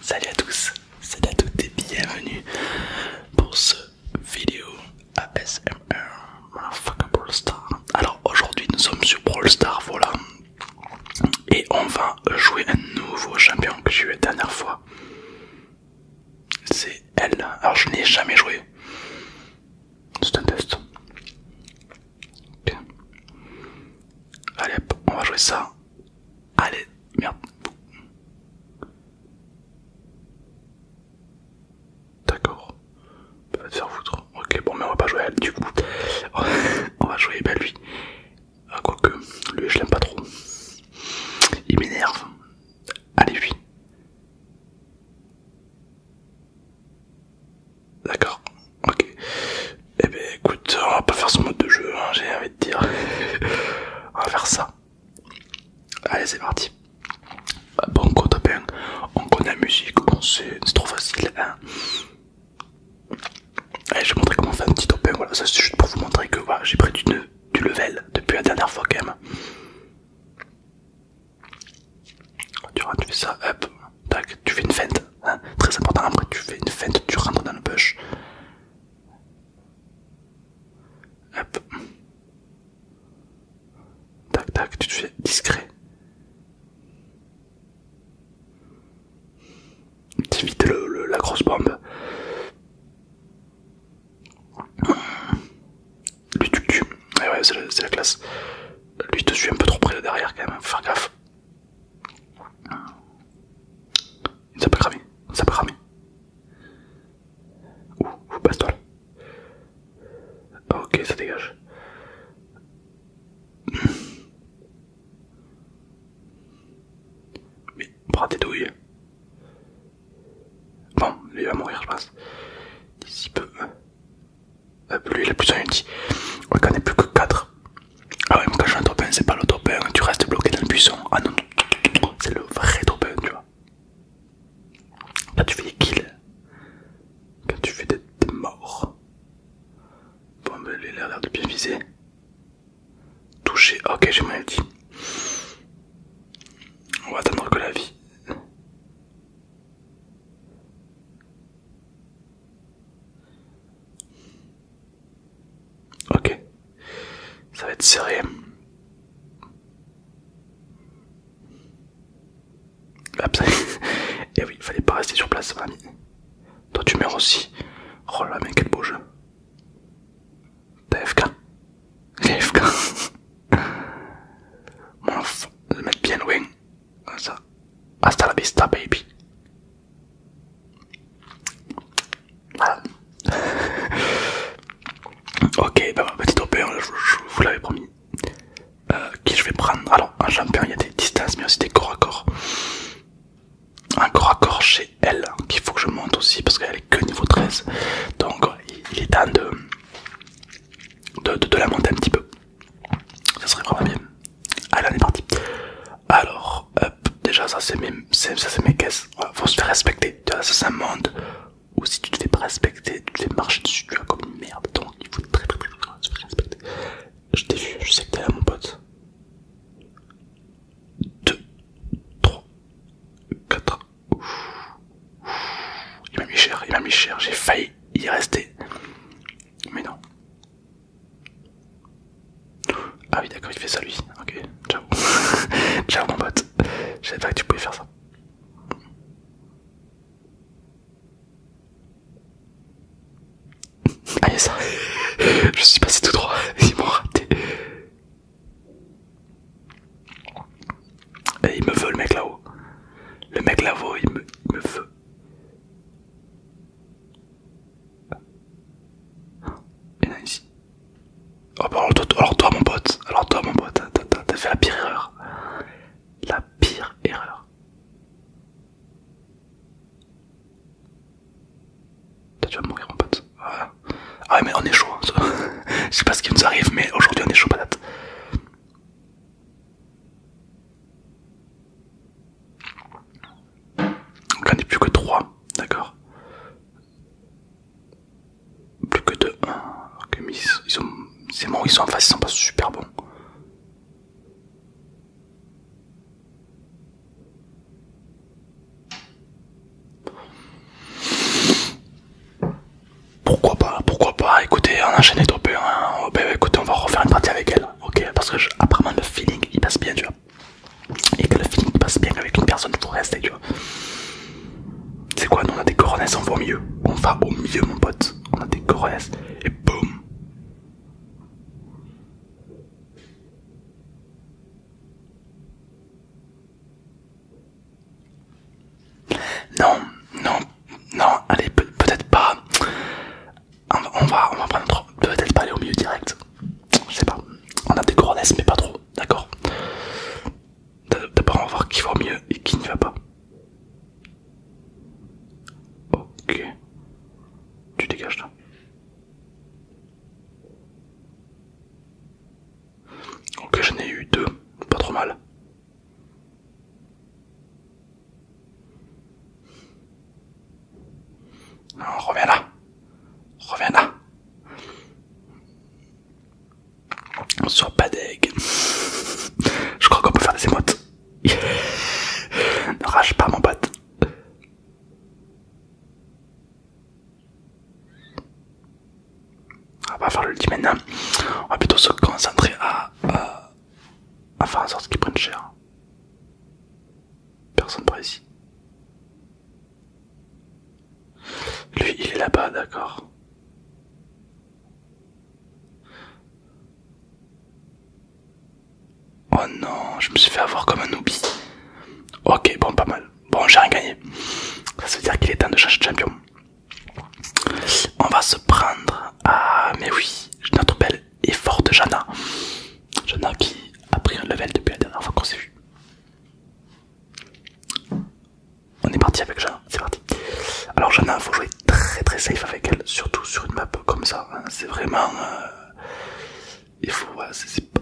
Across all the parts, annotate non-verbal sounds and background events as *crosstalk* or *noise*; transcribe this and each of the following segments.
Salut à tous, salut à toutes et bienvenue pour ce vidéo ASMR Motherfucker Brawl Star. Alors aujourd'hui nous sommes sur Brawl Star, voilà, et on va jouer un nouveau champion que j'ai eu la dernière fois. C'est elle, alors je n'ai jamais joué. C'est un test. Allez hop, on va jouer ça. Allez, merde. D'accord. Va te faire foutre. Ok, bon, mais on va pas jouer à elle du coup. *laughs* on va jouer, à bah, lui. Ah, quoique, lui je l'aime pas trop. Il m'énerve. Allez, lui. D'accord, ok. Eh ben écoute, on va pas faire ce mode de jeu, hein, j'ai envie de dire. *laughs* on va faire ça. Allez, c'est parti. Bah, bon 1. on connaît la musique, on c'est trop facile. Hein. Allez, je vais montrer comment faire fait un petit topin. Voilà, ça c'est juste pour vous montrer que j'ai pris du, level depuis la dernière fois quand même. Tu rentres, fais ça, hop, tac, tu fais une feinte, hein. très important. Après, tu fais une feinte, tu rentres dans le bush, Tac, tac, tu te fais discret. Tu la grosse bombe. Lui, tu Ouais, ouais, c'est la, classe. Lui, te suis un peu trop près derrière quand même. Faut faire gaffe. Il ne s'est pas cramé, il ne s'est pas cramé. Ouh, ouh passe-toi là. Ok, ça dégage. Mais bras tes Bon, il va mourir, je pense. D'ici peu. bah lui il a plus un ulti. va on ait plus que 4. Ah ouais, mais quand je fais un top 1, c'est pas le top 1, tu restes bloqué dans le buisson. Ah non, c'est le vrai top 1, tu vois. Quand tu fais des kills. Quand tu fais des, morts. Bon, elle a l'air de bien viser. Toucher, ok, j'ai mal dit. On va attendre que la vie. Ok. Ça va être serré. *laughs* Et eh oui, il fallait pas rester sur place, famille. Toi, tu meurs aussi. Oh la main quel beau jeu. T'as *laughs* FK Mon le mettre bien loin. Ça. Hasta la vista, baby. *laughs* ok, bah, petite hein, je, vous l'avais promis. Euh, qui je vais prendre Alors, un champion, il y a des distances, mais aussi des corps à corps. Un corps à corps chez elle, hein, qu'il faut que je monte aussi parce qu'elle est que niveau 13. Donc, il est temps de, de, la monter un petit peu. Ça serait vraiment bien. Allez, on est parti. Alors, hop, déjà ça c'est mes, ça, c'est mes caisses. faut se faire respecter. Tu ça c'est un monde ou si tu te fais pas respecter, tu te fais marcher dessus, tu vois, comme une merde. Donc il faut très très très, très se faire respecter. Je t'ai vu, je sais que t'es là mon pote. 2, 3, 4. Il m'a mis cher, il m'a mis cher, j'ai failli y rester. Mais non. Ah oui d'accord il fait ça lui, ok, ciao. *laughs* ciao mon pote, j'avais pas que tu pouvais faire ça. Ah y'a ça *laughs* Je suis passé tout droit, *laughs* ils m'ont raté. il me veut le mec là-haut. Le mec là-haut il me, il me veut. Oh, oh bah alors, toi, mon pote, alors toi mon pote, t'as fait la pire erreur. La pire erreur. tu vas mourir mon pote. Ah ouais mais on est chaud. Hein, *laughs* Je sais pas ce qui nous arrive mais aujourd'hui on est chaud patate. Donc on n'est plus que 3, d'accord Plus que 2, 1. Ok, ils sont... C'est bon, ils sont en face, ils sont pas super bons. Pourquoi pas, pourquoi pas, écoutez, on enchaîne enchaîné trop hein. bah, écoutez, on va refaire une partie avec elle, ok, parce que apparemment le feeling il passe bien, tu vois et que le feeling passe bien avec une personne, pour rester, tu vois. C'est quoi Nous on a des coronesses, on va au mieux. On va au mieux, mon pote. On a des coronesses et boum. Non, non, non, allez, peut-être pas. On va, on va peut-être pas aller au mieux direct je sais pas, on a des grandesses mais pas trop, d'accord D'abord on va voir qui va mieux et qui ne va pas. Ok, tu dégages toi. Ok, j'en ai eu deux, pas trop mal. On reviens là. Reviens là. Sur Badeg. Je crois qu'on peut faire des émotes. ne *laughs* rage pas mon pote. On va faire le ultime maintenant. Hein. On va plutôt se concentrer à, faire en sorte qu'ils prenne cher. Personne par ici. Lui, il est là-bas, d'accord. Oh non, je me suis fait avoir comme un oubli. Ok, bon, pas mal. Bon, j'ai rien gagné. Ça veut dire qu'il est temps de changer de champion. On va se prendre à... Mais oui, notre belle et forte Jana. Jana qui a pris un level depuis la dernière fois qu'on s'est vu. On est parti avec Jean, c'est parti. Alors Jeanne, il faut jouer très très safe avec elle, surtout sur une map comme ça. Hein. C'est vraiment... Euh, il faut...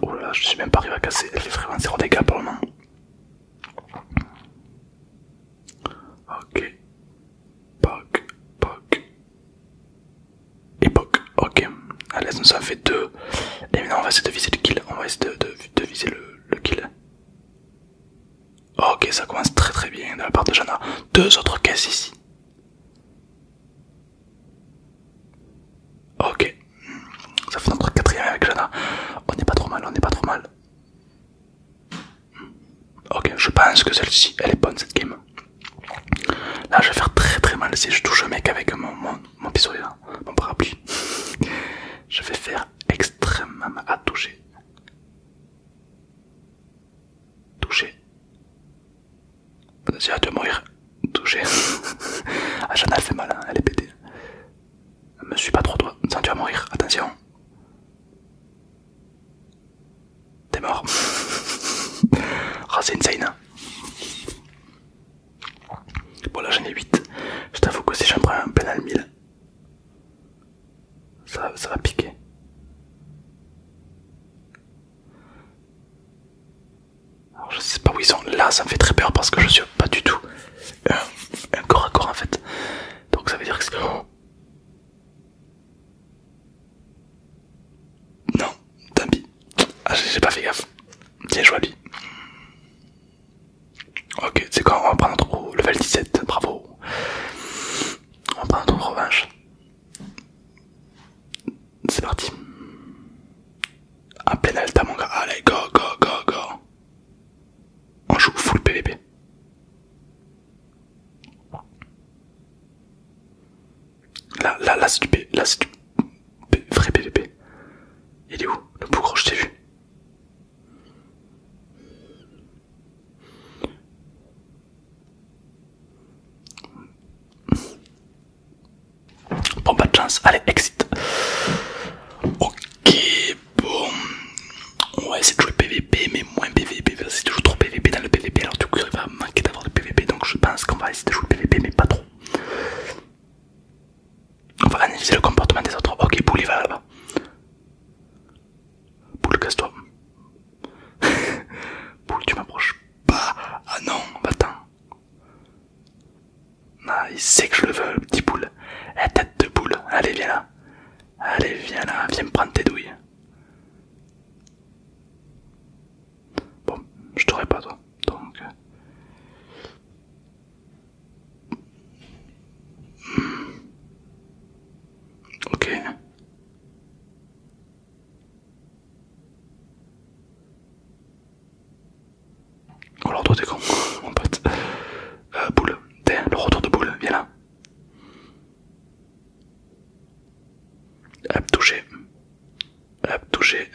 Oh là je suis même pas arrivé à casser. Elle fait vraiment 0 dégâts pour le moment. Ok époque. Ok, allez, ça fait deux. Et maintenant, on va essayer de viser le kill. On va essayer de, viser le, kill. Ok, ça commence très très bien de la part de Jana. Deux autres caisses ici. Ok, ça fait notre quatrième avec Jana. On n'est pas trop mal, on n'est pas trop mal. Ok, je pense que celle-ci, elle est bonne cette game. Là, je vais faire très très mal si je touche le mec avec mon, mon, mon pistolet, e, hein, mon parapluie. *laughs* Je vais faire extrêmement à toucher. Toucher. Vas-y, vas mourir. Toucher. *laughs* ah, Jana, elle fait mal, hein, elle est pétée. Me suis pas trop toi, tiens, tu vas mourir, attention. T'es mort. Ah, *laughs* oh, hein. Bon là j'en ai 8. Je t'avoue que si j'en prends un pénal 1000, ça, va piquer. Alors je sais pas où ils sont. Là ça me fait très peur parce que je suis pas du tout un, un corps à corps en fait. Donc ça veut dire que... Non, tant pis. Ah, j'ai pas fait gaffe. Tiens, joue à lui. Ok, c'est quoi On va prendre au level 17, bravo. On va prendre notre revanche. C'est parti. Un Alta, mon gars. Allez, go, go, go, go. On joue full PVP. Là, là, là c'est du Là, c'est du vrai PVP. Il est où le bougre Je t'ai vu. Bon, pas de chance. Allez, exit. Ok, bon. On va essayer de jouer PVP, mais moins PVP. C'est toujours trop PVP dans le PVP. Alors, du coup, il va manquer d'avoir le PVP. Donc, je pense qu'on va essayer de jouer PVP, mais pas trop. On va analyser le comportement des autres. Ok, boule il va là-bas. boule casse-toi. boule *laughs* tu m'approches pas. Ah non, va-t'en. Ah, il sait que je le veux, petit boule, eh, La tête de boule, Allez, viens là. Allez, viens là. Viens me prendre tes douilles. Bon, je t'aurais pas toi. Donc... Euh, hmm. Ok. Alors toi t'es con, *laughs* mon pote. Euh, boule, t'es le retour de boule, viens là. Hop, touché. Hop, touché.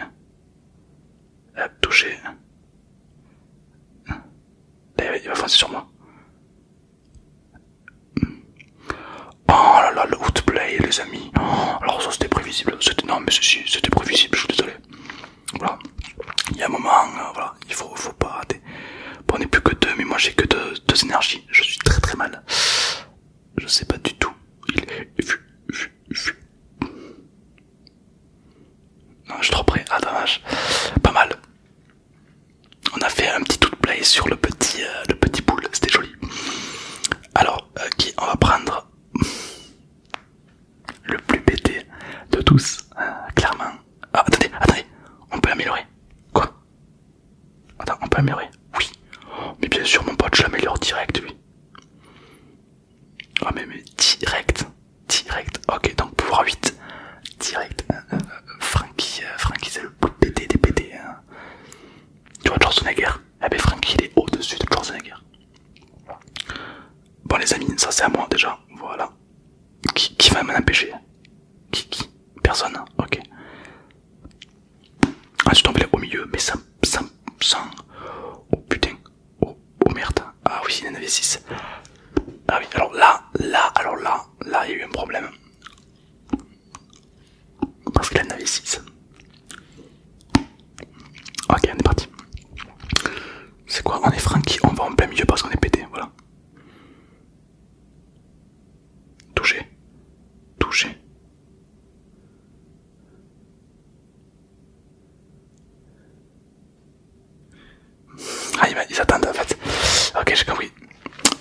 Elle touché. il va foncer sur moi. Oh là là, le outplay, les amis. Oh, alors, ça c'était prévisible. C'était, non, mais si, c'était prévisible, je suis désolé. Voilà. Il y a un moment, euh, voilà, il faut, faut pas rater. Bon, on n'est plus que deux, mais moi j'ai que deux, énergies. Je suis très très mal. Je sais pas du tout. Il est non, je suis trop prêt, Ah, dommage. Pas mal. On a fait un petit tout play sur le petit, euh, le petit boule. C'était joli. Alors, euh, qui on va prendre *laughs* le plus pété de tous, hein, clairement. Ah, attendez, attendez. On peut améliorer. Quoi on peut améliorer. Oui. Mais bien sûr, mon pote, je l'améliore direct, lui. Ah mais, direct, direct. Ok, donc pouvoir 8, direct. Franky euh, euh, euh, Franky Frankie, c'est le de de des pété. Hein. Tu vois Schwarzenegger Eh ben Frankie il est au-dessus de Schwarzenegger. Bon les amis, ça c'est à moi déjà, voilà. Qui, qui va m'en empêcher qui, Personne hein. Ok. Ah je suis au milieu, mais sans, ça... ça... Oh putain, Oh, oh, merde. Ah oui, il y en avait 6. Ah oui, alors là, là, alors là, là, il y a eu un problème. Parce qu'il en avait 6. Ok, on est parti. C'est quoi On est qui on va en plein milieu parce qu'on est pété, voilà. Touché. Touché. Ah, ils attendent en fait. Ok, j'ai compris.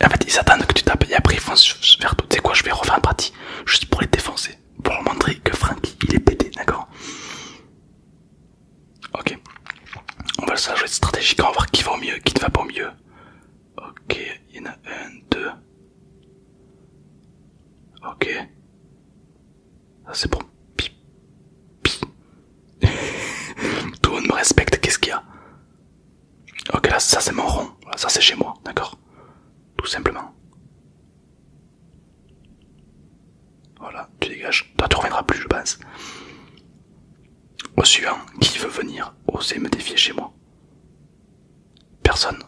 En fait, ils attendent que tu tapes et après ils foncent vers tout. Tu sais quoi, je vais refaire un partie juste pour les défoncer. Pour montrer que Franky il est pété, d'accord Ok. On va le jouer stratégique, on va voir qui va au mieux, qui ne va pas au mieux. Ok, il y en a un, deux. Ok. Ah, c'est bon. Pi. *laughs* Tout le monde me respecte, qu'est-ce qu'il y a Ok, là, ça c'est mon rond. ça c'est chez moi, d'accord Tout simplement. Voilà, tu dégages. Toi, tu reviendras plus, je pense. Au suivant, qui veut venir oser me défier chez moi Personne,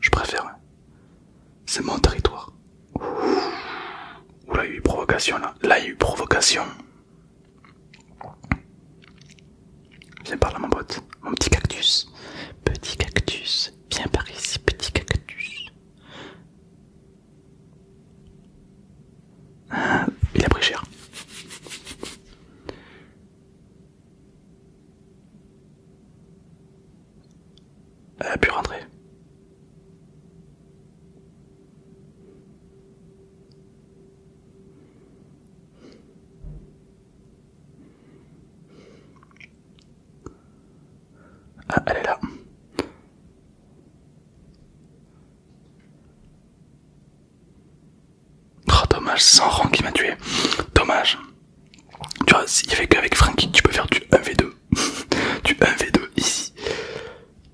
je préfère. Hein. C'est mon territoire. Ouh là, il y a eu provocation là. Là, il y a eu provocation. Viens par là, mon pote. Mon petit cactus. Petit cactus. Viens par ici, petit cactus. Hein, il a pris cher. Elle a pu rentrer. Ah, elle est là. Oh, dommage, c'est rang qui m'a tué. Dommage. Tu vois, il fait qu'avec Frankie tu peux faire du 1v2. *laughs* du 1v2 ici.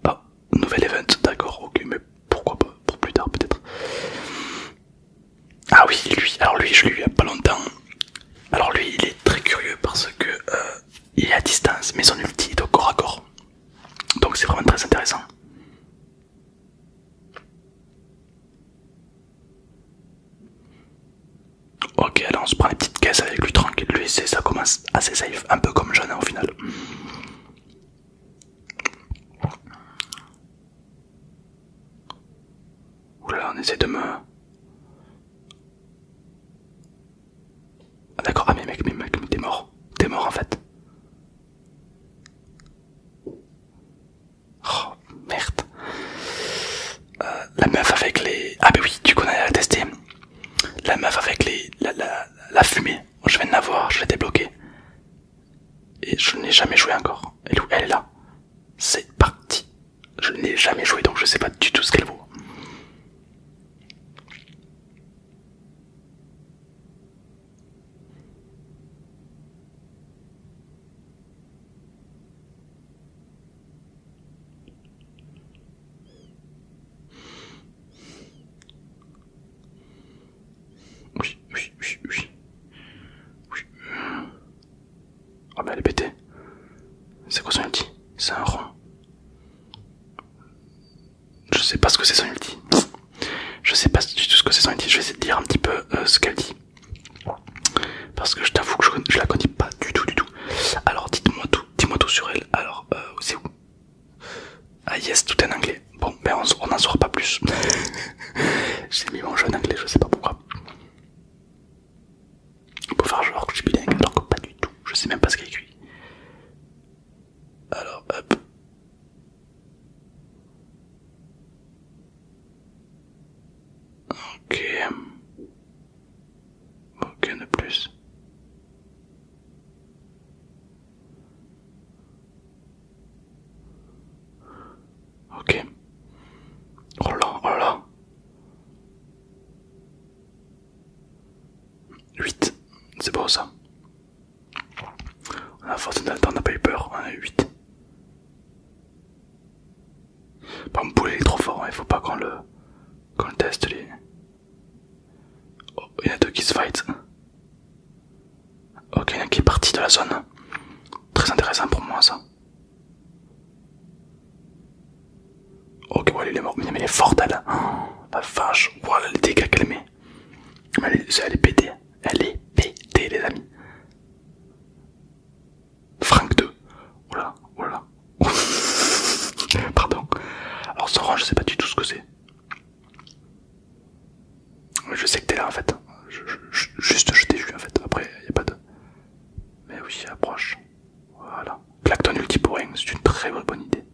Ah, nouvel event, d'accord, ok, mais pourquoi pas, pour plus tard peut-être. Ah oui, lui, alors lui, je l'ai eu il y a pas longtemps. Alors lui, il est très curieux parce que euh, il est à distance, mais son ulti est au corps à corps. Donc c'est vraiment très intéressant. Ok, alors on se prend une petite caisse avec lui tranquille. Lui, ça commence assez safe, un peu comme Jeanne hein, au final. Oula, on essaie de me. Ah d'accord, ah mais mec, mais mec, t'es mort. T'es mort en fait. Oh merde. Euh, la meuf avec les... Ah bah oui, du coup on a testé. La meuf avec les... La, la, fumée. Je viens de la voir, je l'ai débloquée. Et je n'ai jamais joué encore. Elle, elle est là. C'est parti. Je n'ai jamais joué, donc je sais pas du tout ce qu'elle vaut. Oui, oui, oui, oui. Ah, bah elle est C'est quoi son C'est un rond. Je sais pas ce que c'est son dit. Je sais pas du tout ce que c'est son ulti. Je vais essayer de dire un petit peu euh, ce qu'elle dit. Parce que je t'avoue que je, je la connais pas du tout, du tout. Alors dites-moi tout dis-moi tout sur elle. Alors, euh, c'est où Ah yes, tout est en anglais. Bon, ben on en saura pas plus. *laughs* J'ai mis mon jeu en anglais, je sais pas pourquoi. Pour faire genre que je suis bilingue, alors pas du tout. Je sais même pas ce qu'il écrit. Alors, hop. Ok de plus. Ok. Oh là, 8, c'est beau ça. On a force pas eu peur, on a 8. Bon, exemple, est trop fort, hein. il faut pas qu'on le, qu'on teste Oh, il y en a deux qui se fight. Ok, il y en a qui est parti de la zone. Très intéressant pour moi ça. Ok, voilà, il est mort, mais il est fort elle. Oh, la vache, voilà les dégâts qu'elle met. Elle est pétée, elle est pétée les amis. Frank 2. Oula, oula. Pardon. Alors rang, je sais pas du tout ce que c'est. Je sais que t'es là en fait. juste je t'ai vu en fait. Après, il n'y a pas de. Mais oui, approche. Voilà. Clacton Ultiporing, c'est une très bonne idée.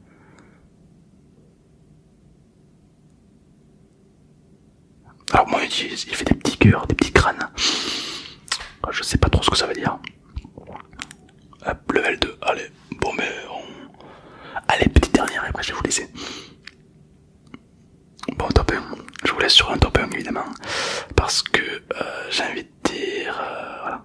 Alors moi il fait des petits cœurs, des petits crânes. Je sais pas trop ce que ça veut dire level 2, allez, bon mais Allez, petite dernière et après je vais vous laisser. Bon, top 1, je vous laisse sur un top 1 évidemment, parce que euh, j'ai envie de dire... Euh, voilà.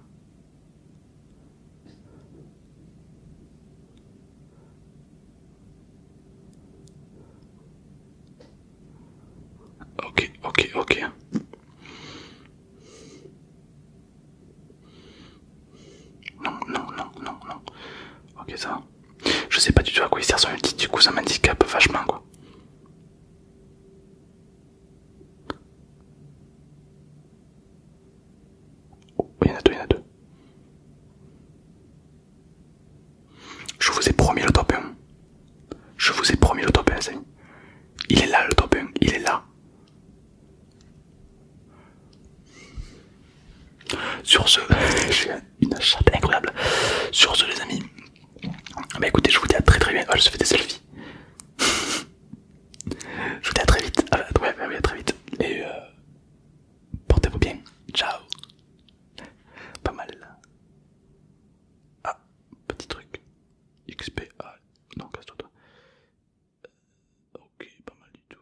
Ok, ok, ok. Non, non, non, non, non. Ok, ça va. Je sais pas du tout à quoi il sert son ulti, du coup ça peu vachement quoi. il y en a deux, il y en a deux. Je vous ai promis le top 1. Je vous ai promis le top 1, Il est là le top 1, il est là. Sur ce, *laughs* j'ai une chatte incroyable. Sur ce, les amis, bah écoutez, je vous dis à très très bien. je fais des selfies. *laughs* je vous dis à très vite. Ah, très vite. Et euh, portez-vous bien. Ciao. Pas mal. Ah, petit truc. XP, ah, non, casse-toi toi. Euh, ok, pas mal du tout.